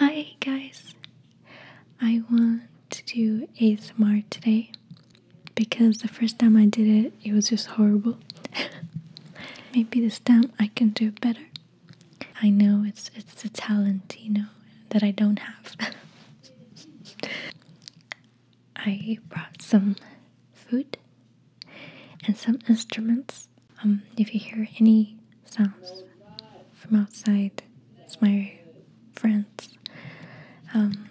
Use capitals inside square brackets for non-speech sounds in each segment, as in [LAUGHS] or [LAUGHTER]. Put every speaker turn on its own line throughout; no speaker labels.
Hi guys! I want to do ASMR today because the first time I did it, it was just horrible. [LAUGHS] Maybe this time I can do it better. I know it's it's a talent, you know, that I don't have. [LAUGHS] I brought some food and some instruments um, if you hear any sounds from outside, it's my friends. Um,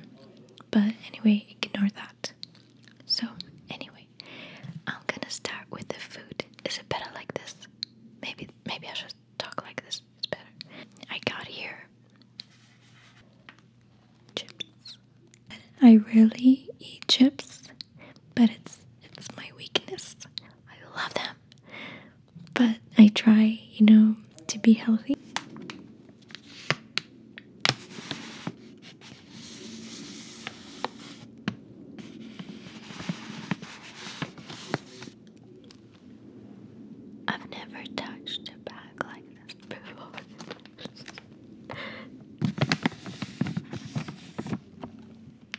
but anyway, ignore that.
So, anyway, I'm gonna start with the food. Is it better like this? Maybe, maybe I should talk like this. It's better. I got here
chips. I really eat chips but it's it's my weakness. I love them. But I try, you know, to be healthy. I've never touched a bag like this before. [LAUGHS]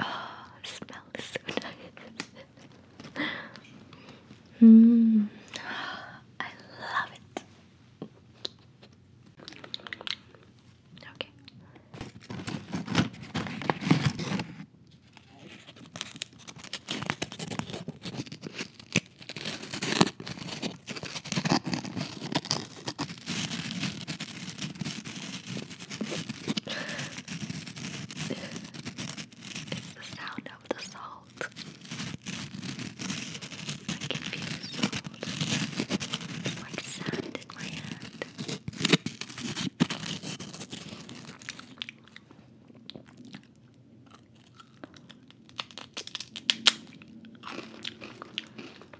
Oh, the so nice. Mmm. I love it. Okay. It's the sound of the salt. I can feel salt like sand in my hand.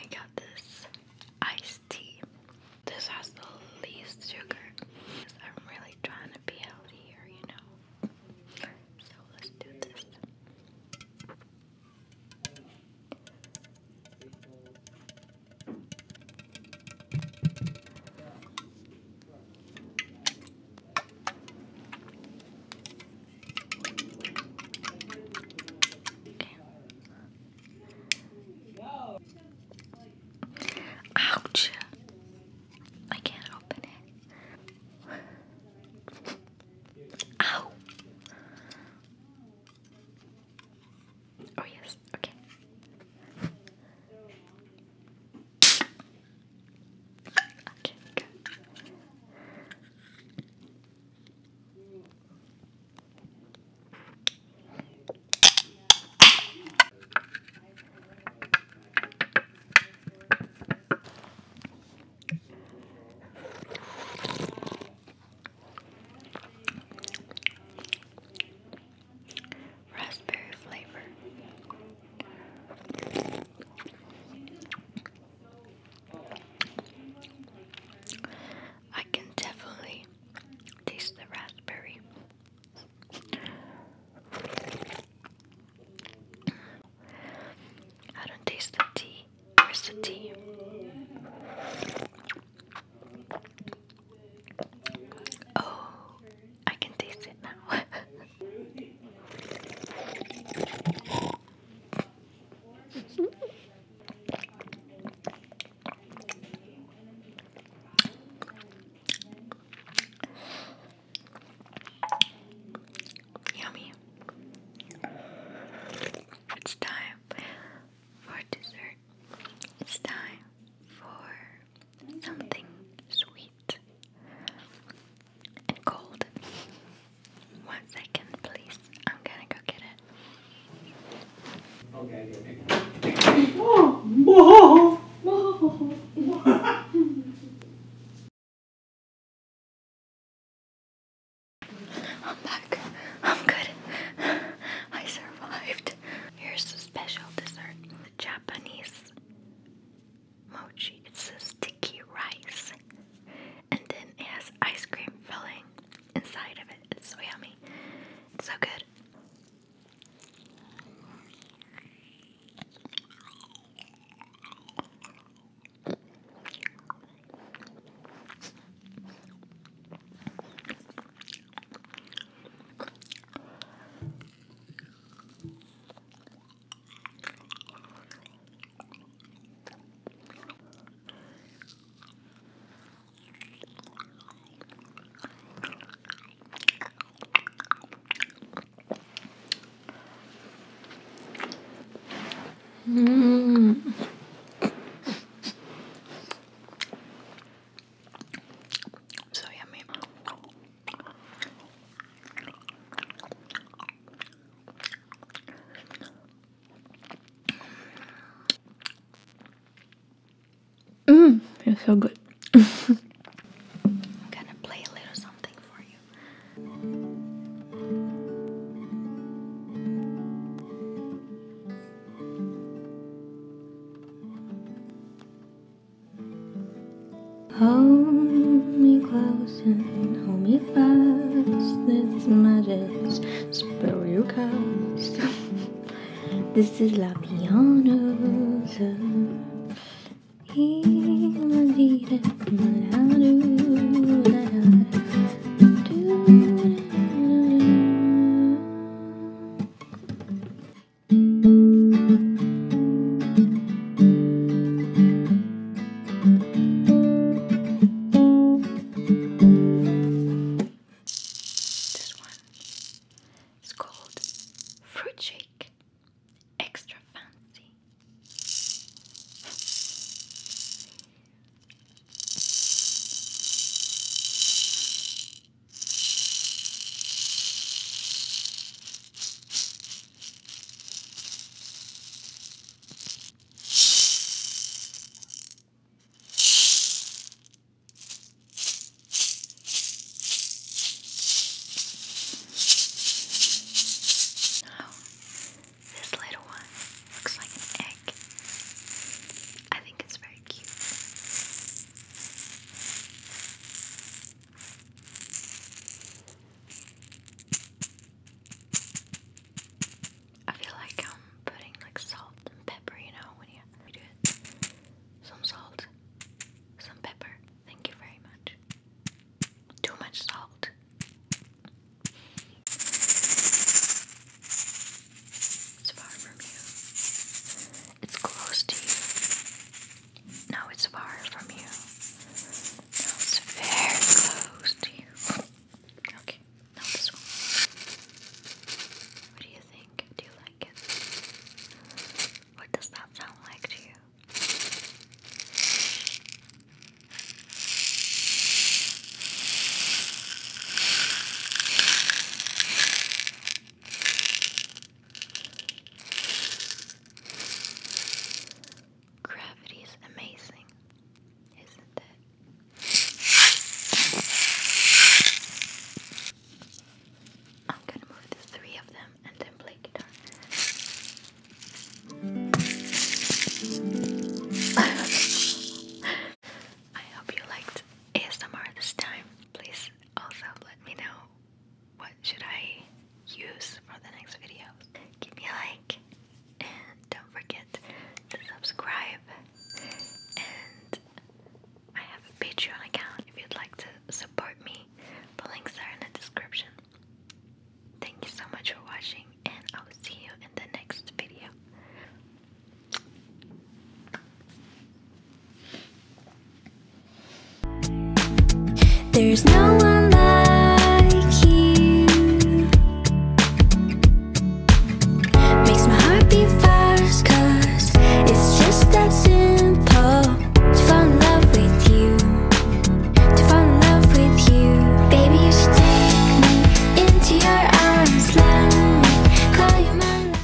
I got this iced tea. This has the least sugar. I'm really trying to be healthy you know. So let's do this. Ouch! I can't open it. Ow! Oh yes, okay. Okay, good. Raspberry flavor. I can definitely taste the raspberry. I don't taste the tea. Where's the tea? Oh, I can taste it now. [LAUGHS] Yummy. It's time for dessert. It's time for something sweet and cold. One second, please. I'm gonna go get it. Okay. Whoa! Whoa! Whoa! I'm back. I'm good. I survived. Here's a special dessert: the Japanese mochi. It's a sticky rice, and then it has ice cream filling inside of it. It's so yummy. so good. Mm. So yummy.
Mmm, it's so good. I'm gonna play a little something for you. Hold me close and hold me fast. This magic spell you cast. [LAUGHS] this is La Pianosa. He did it, my this one is called Fruit Shake Extra Fancy. Now, this
little one looks like an egg. I think it's very cute. I feel like I'm putting like salt and pepper, you know, when you do it. Some salt, some pepper. Thank you very much. Too much salt. It's far from you. It's close to you. No, it's far from you. it's very close to you. Okay, now this one. What do you think? Do you like it? What does that sound like to you? Gravity is amazing, isn't it? I'm gonna move the three of them and then play guitar. [LAUGHS] I hope you liked ASMR this time. Please also let me know what should I use for the next video. Give me a like and don't forget to subscribe and I have a Patreon account if you'd like to support me. The links are in the description. Thank you so much for watching and I'll see you in the next video.
There's no one like you Makes my heart beat fast it's just that simple To fall in love with you To fall in love with you
Baby you take me into your arms Let me call you my